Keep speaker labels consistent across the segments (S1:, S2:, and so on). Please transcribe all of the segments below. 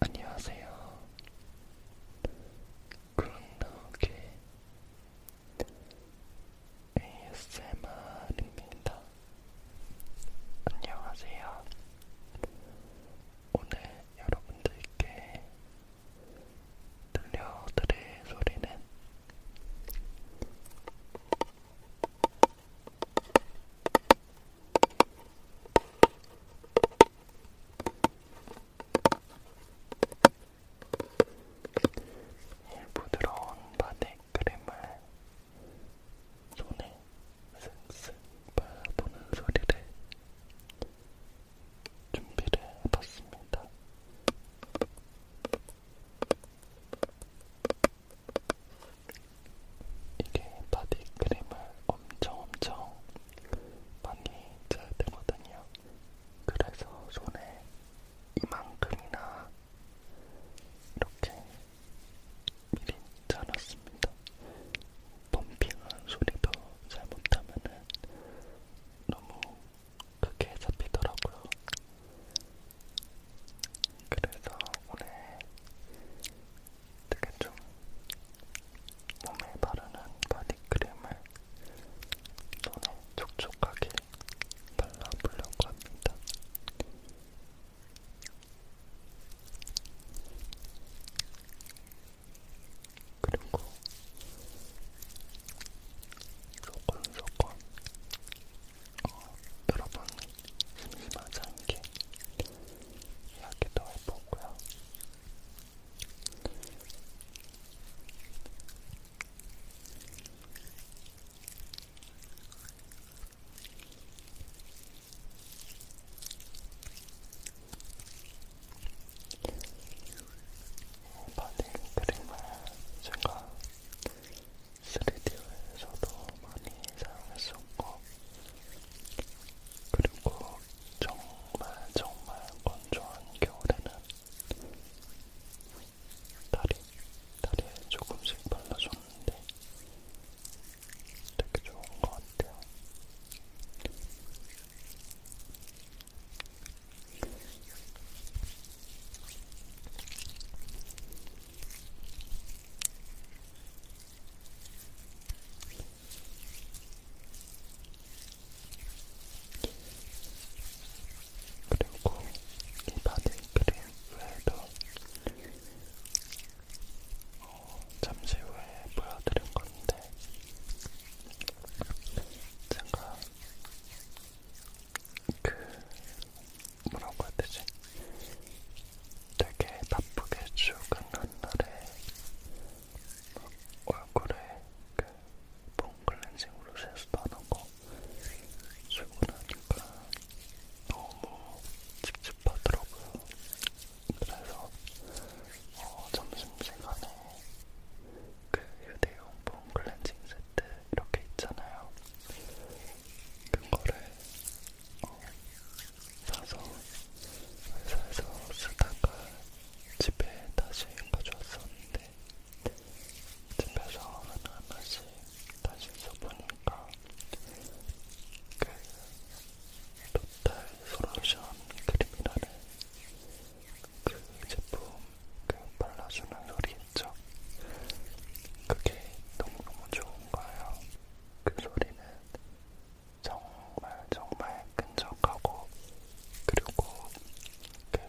S1: 안녕하세요. 굿노게 ASMR입니다. 안녕하세요. 오늘 여러분들께 들려드릴 소리는 이 부드러운 바디 크림을 손에 슥슥 발라보는 소리를 준비를 해봤습니다. 이게 바디 크림을 엄청 엄청 많이 짜야 되거든요. 그래서 손에 이만큼이나 이렇게 미리 짜놨습니다. 펌핑한 소리도 잘못하면은 너무 크게 잡히더라고요. 그래서 오늘 되게 좀 몸에 바르는 바디크림을 눈에 촉촉하게 발라보려고 합니다. 그리고 조금 조금 어, 여러분 마장기 이야기도 해보고요. 바디 크림을 제가 3D에서도 많이 사용했었고 그리고 정말 정말 건조한 겨울에는 다리, 다리에 조금씩 발라줬는데 되게 좋은 것 같아요. 그리고 이 바디 크림 외에도 어, 잠시 후에 보여드릴 건데 제가 그 뭐라고 해야 되지? 되게 바쁘게 출근한 날에 얼굴에 그 폼클렌징으로 세수하는 거 출근하니까 너무 찝찝하더라고요. 그래서 어, 점심시간에 그 휴대용 폼클렌징 세트 이렇게 있잖아요. 그거를 어, 사서 회사에서 쓰다가 집에 다시 가져왔었는데 집에서 하나하나씩 다시 써보니까 그 토탈 솔루션 크림이라는 그 제품 그 발라주는 소리 있죠? 그게 너무너무 좋은 거예요. 그 소리는 정말 정말 끈적하고 그리고 그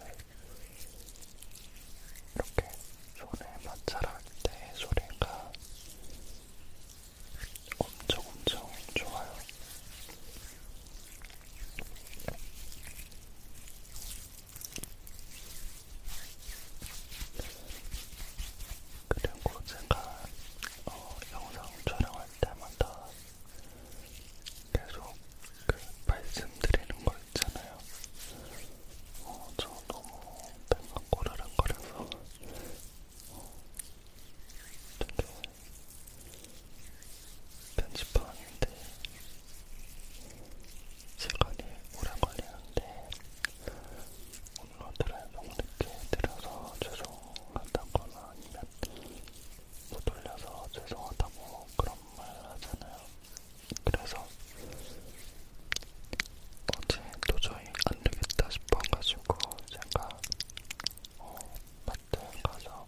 S1: 이렇게 손에 마찰할 때 소리가 엄청 엄청 좋아요. 그리고 제가 어, 영상 촬영할 때마다 계속 그 말씀드리는 거 있잖아요. 어, 저 너무 배가 꼬르륵거려서 어, 되게 편집하는데 시간이 오래 걸리는데 어드라이브 늦게 드려서 죄송하다거나 아니면 못 돌려서 죄송하다고 그런 말 하잖아요. 그래서 어제 도저히 안 되겠다 싶어가지고 제가 어, 마트에 가서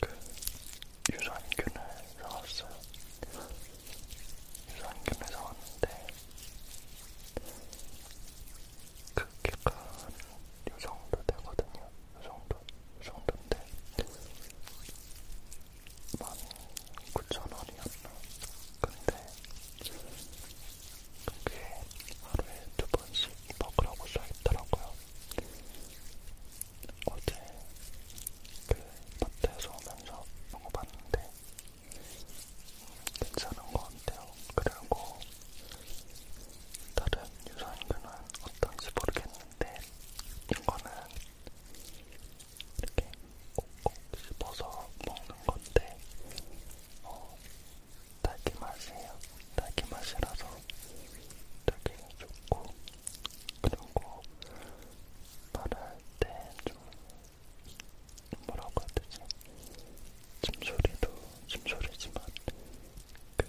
S1: 그 유산균을 사왔어요. 유산균을 사왔는데 크기가 그 이 정도 되거든요. 이 정도, 이 정도인데 19,000원이었나? 근데 그게 하루에 두 번씩 먹으라고 써있더라고요. 어제 그 마트에서 오면서 먹어봤는데 괜찮은 것 같아요. 그리고 다른 유산균은 어떤지 모르겠는데 이거는 이렇게 꼭꼭 씹어서 먹는 건데 어, 딸기 맛이에요. 딸기 맛이라서 되게 좋고 그리고 말할 때 좀 뭐라고 해야 되지? 침소리도 침소리지만 그,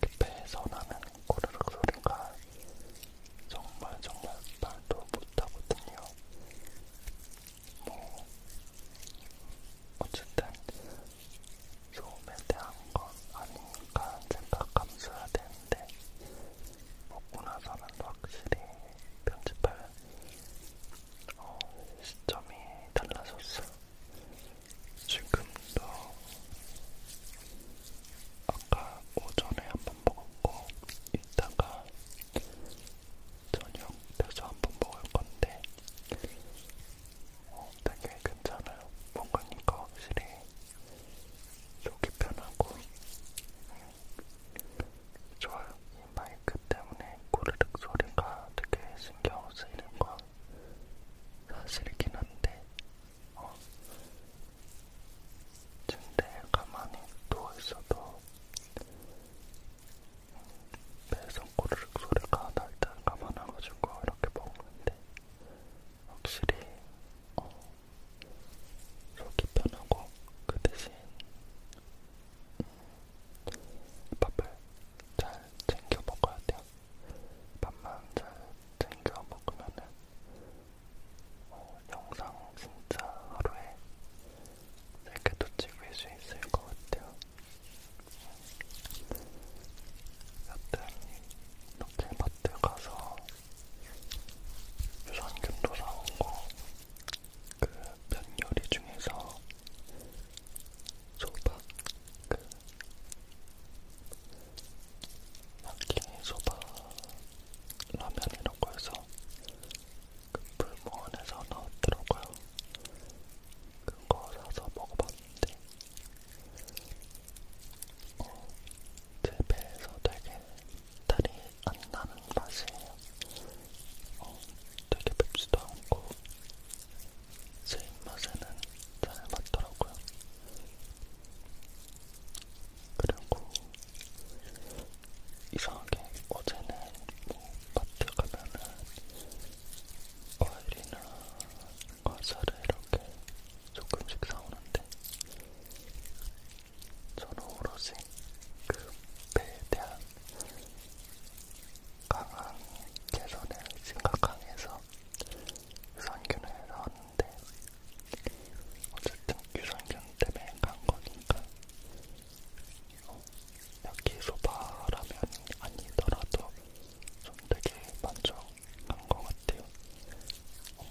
S1: 그 배에서 나는 꼬르륵 소리가 정말 정말 말도 못하거든요. 뭐 어쨌든 소음에 대한 건 아니니까 생각감수해야 되는데 먹고 나서는 확실히 편집할 어, 시점이 달라졌어요. 지금도 아까 오전에 한번 먹었고 이따가 저녁 돼서 한번 먹을 건데 어, 되게 괜찮아요. 먹으니까 확실히 속이 편하고 좋아요. 이 마이크 때문에 꼬르륵 소리가 되게 신경 쓰이는 건 사실이긴 한데 어, 침대에 가만히 누워있어도 배에서 꼬르륵 소리가 날때 감안해가지고 이렇게 먹는데 확실히 어, 속이 편하고 그 대신 음, 밥을 잘 챙겨 먹어야 돼요. 밥만 잘 챙겨 먹으면은 어, 영상 진짜 하루에 3개도 찍을 수 있을 것 같아요. 음, 여튼 이렇게 마트 가서 유산균도 사오고 그 면요리 중에서 소박 그 야끼니 소바 라면이라고 해서 그 불무원에서 나왔더라고요. 그거 사서 먹어봤 건데 어, 제 배에서 되게 탈이 안 나는 맛이에요. 어, 되게 맵지도 않고 제 입맛에는 잘 맞더라고요. 그리고 이상하게 어제는 뭐 마트 가면은 과일이나 과자를 이렇게 조금씩 사오는데 저는 오로지 그 배에 대한 강한 개선을 생각하면서 유산균을 사왔는데 어쨌든 유산균 때문에 간 거니까 어, 여기 소바라면 아니더라도 좀 되게 만족 간것 같아요. 어,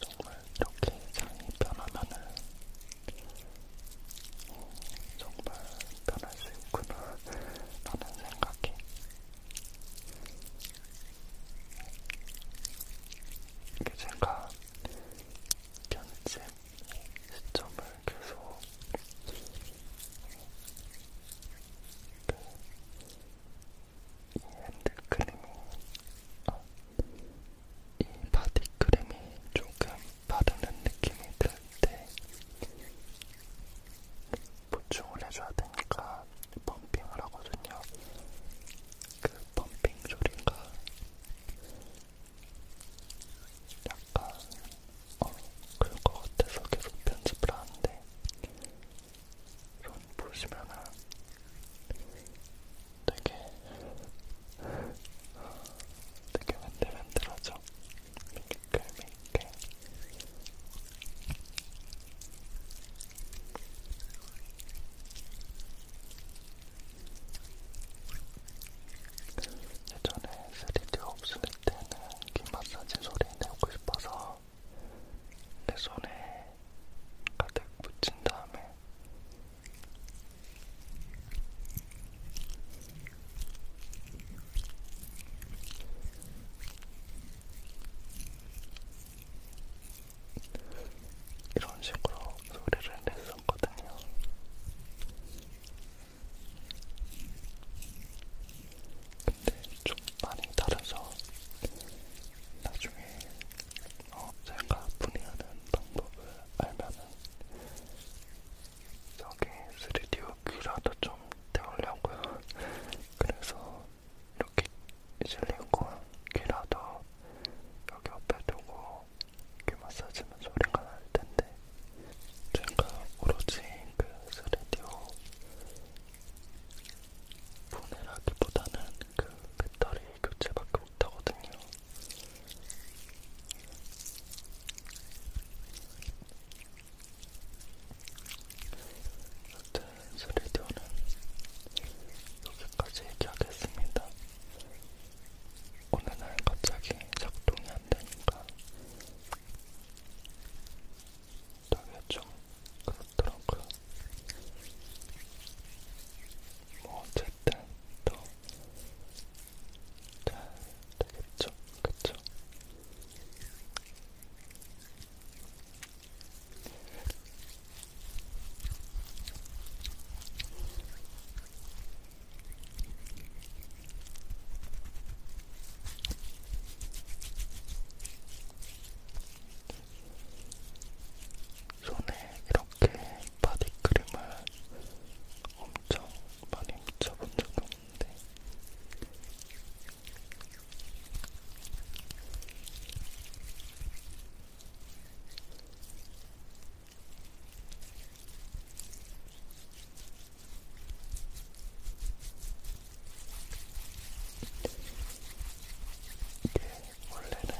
S1: 정말 이렇게 장이 편하면은 어, 음, 정말 편할 수 있구나 라는 생각이 이게 제가 편집 시점을 계속 그이 핸드크림이, 아, 이 바디크림이 조금 바르는 느낌이 들 때 보충을 해줘야 되니까 펌핑을 하거든요. 그 펌핑 소리가 약간 어, 그럴 것 같아서 계속 편집을 하는데 손 보시면은 되게 되게 맨들맨들하죠? 미끌미끌 예전에 3D 없을 때는 귀 마사지 소리 내고 싶어서 내 손에 가득 묻힌 다음에 이런 식으로 소리를 냈었거든요. 근데 좀 많이 다르죠. 나중에 어, 제가 분해하는 방법을 알면은 저기 3D 귀라도 좀 때우려고요. 그래서 이렇게 실리콘 귀라도 여기 옆에 두고 귀 마사지면 소리가 날 텐데 제가 오로지 그 3D 보내라기보다는 그 배터리 교체밖에 못하거든요. 여튼 스리디오는 여기까지 얘기하겠습니다. 오늘날 갑자기 작동이 안 되니까 되게 좀 그렇더라고요. 뭐 어쨌든 또잘 되겠죠, 그쵸? 손에 이렇게 바디크림을 엄청 많이 묻혀본 적도 없는데 이게 원래는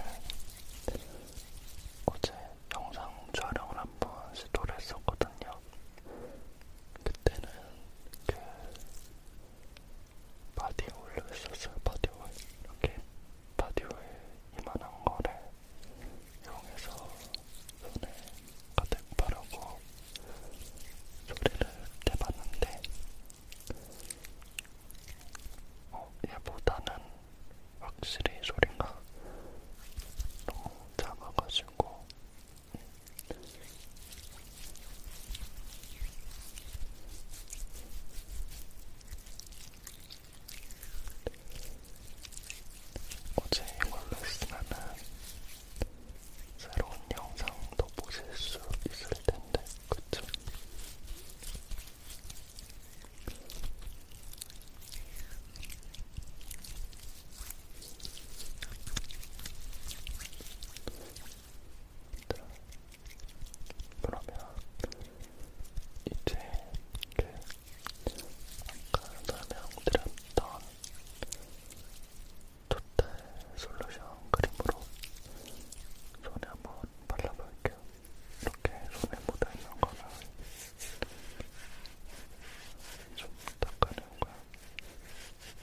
S1: 어제 영상 촬영을 한 번 시도를 했었거든요. 그때는 그 바디오일로 했었어요. 바디오일 이렇게 바디오일 이만한 거를 이용해서 손에 가득 바르고 소리를 내봤는데 어, 얘보다는 확실히 소리가 너무 작아가지고 어제 이걸로 했으면은 새로운 영상도 보실 수 있을 텐데, 그쵸? 자, 그러면 이제 그 아까 설명드렸던 토탈 솔루션 크림으로 손에 한번 발라볼게요. 이렇게 손에 묻어있는 거는 좀 닦아내는 거야. 이렇게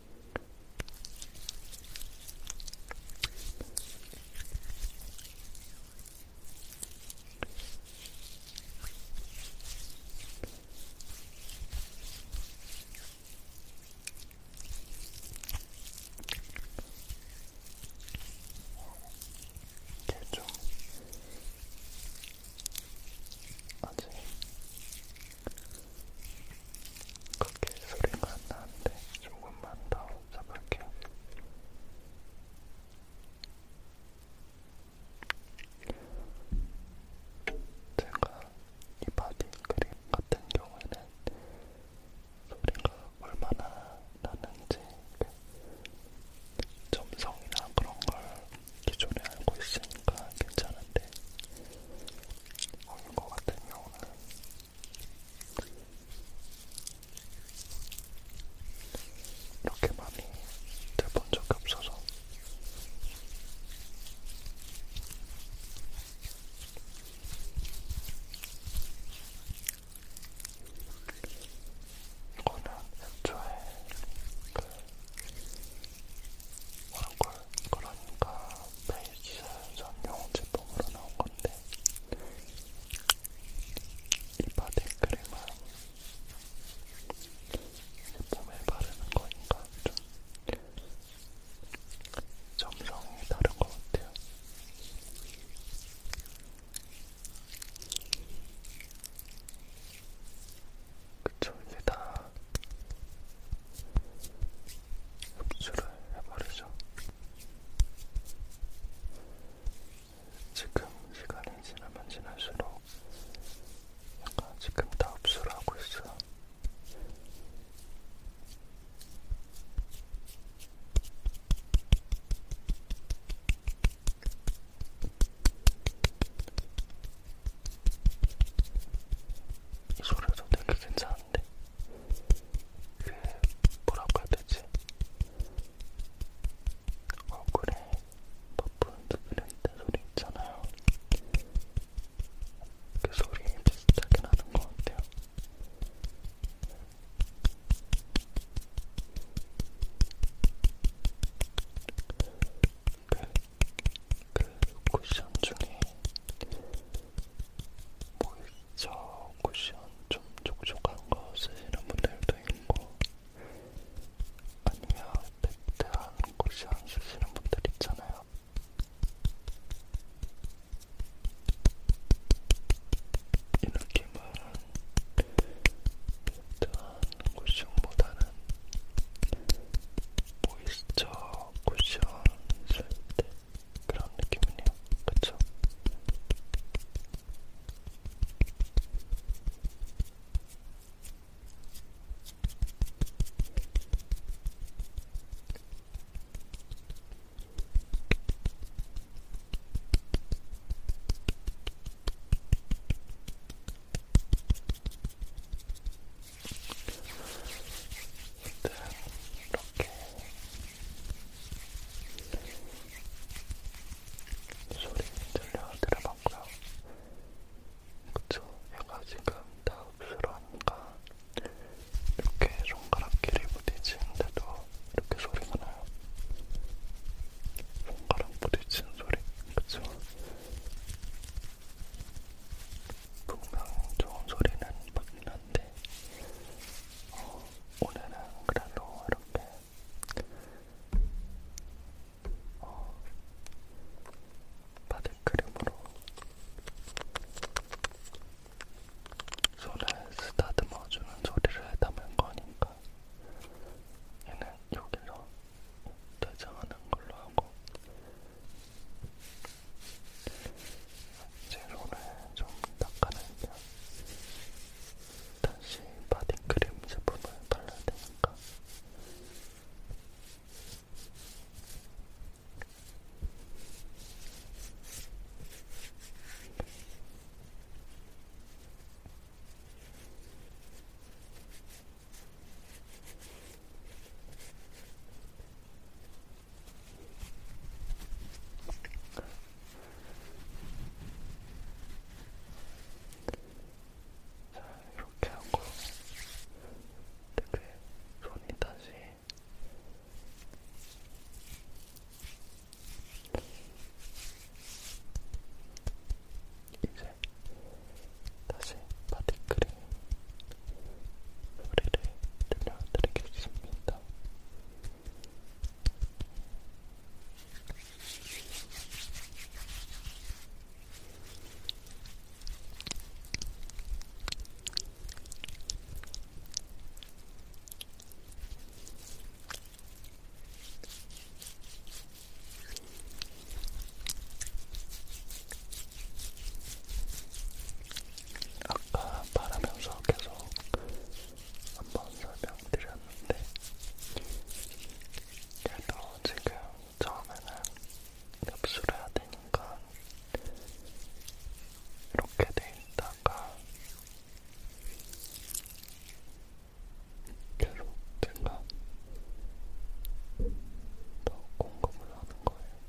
S1: 이제 좀 아직 그렇게 소리가 안 나는데 조금만 더 잡을게요. 제가 이 바디 크림 같은 경우에는 소리가 얼마나 나는지 점성이나 그런 걸 기존에 알고 있으니까 괜찮은데 먹는 것 같은 경우는 이렇게 많이 들본 적이 없어서 이거는 애초에 그 뭐랄걸 그러니까 메인 기술전용 제품으로 나온 건데 이 바디크림은 몸에 바르는 거니까 좀 점성이 다른 것 같아요. 그쵸, 이제 다 흡수를 해버리죠. 지금 시간이 지나면 지날수록 약간 지금 다 흡수를 하고 있어요. 이 소리도 되게 괜찮아. 하는데 그 뭐라고 해야 되지? 얼굴에 퍼프 두드린다 소리 있잖아요. 그 소리 비슷하게 나는 것 같아요. 그그 쿠션 중에 모이스처 뭐 쿠션 좀 촉촉한 거 쓰시는 분들도 있고 아니면 매트한 쿠션 쓰시는 분들 있잖아요. 이 느낌은 매트한 쿠션보다는 모이스처 뭐 쿠션 쓸때 네, 그런 느낌이네요. 그쵸? 일단 이렇게 소리 들려드려봤고요. 그쵸? 얘가 지금 다 흡스러운가? 이렇게 손가락끼리 부딪히는데도 이렇게 소리가 나요. 손가락 부딪히는 소리, 그쵸? 분명 좋은 소리는 맞긴 한데 어, 오늘은 그래도 이렇게 어, 바디 크림으로 손을 쓰다듬어주는 소리를 담은 거니까 얘는 여기로 대장하는 걸로 하고 제로를 좀 닦아내면 다시 바디크림 제품을 발라야 되니까 자, 이렇게 하고 되게 손이 다시 이제 다시 바디크림 소리를 들려드리겠습니다. 아까 말하면서 계속 한 번 설명드렸는데 그래도 지금 처음에는 접수를 해야 되니까 이렇게 돼 있다가 계속 제가 더 공급을 하는 거예요.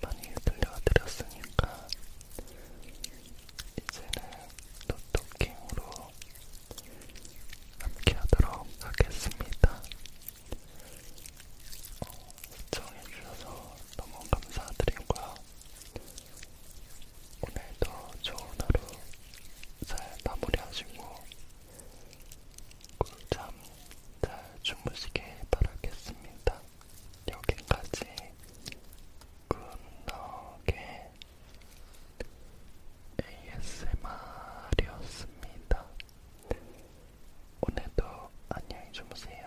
S1: 많이 들려드렸으니까 이제는 노토킹으로 함께하도록 하겠습니다. 어, 시청해주셔서 너무 감사드리고요. 오늘도 좋은 하루 잘 마무리하시고 꿀잠 잘 주무시길 바라겠습니다. 여기까지 굿럭의 ASMR이었습니다. 오늘도 안녕히 주무세요.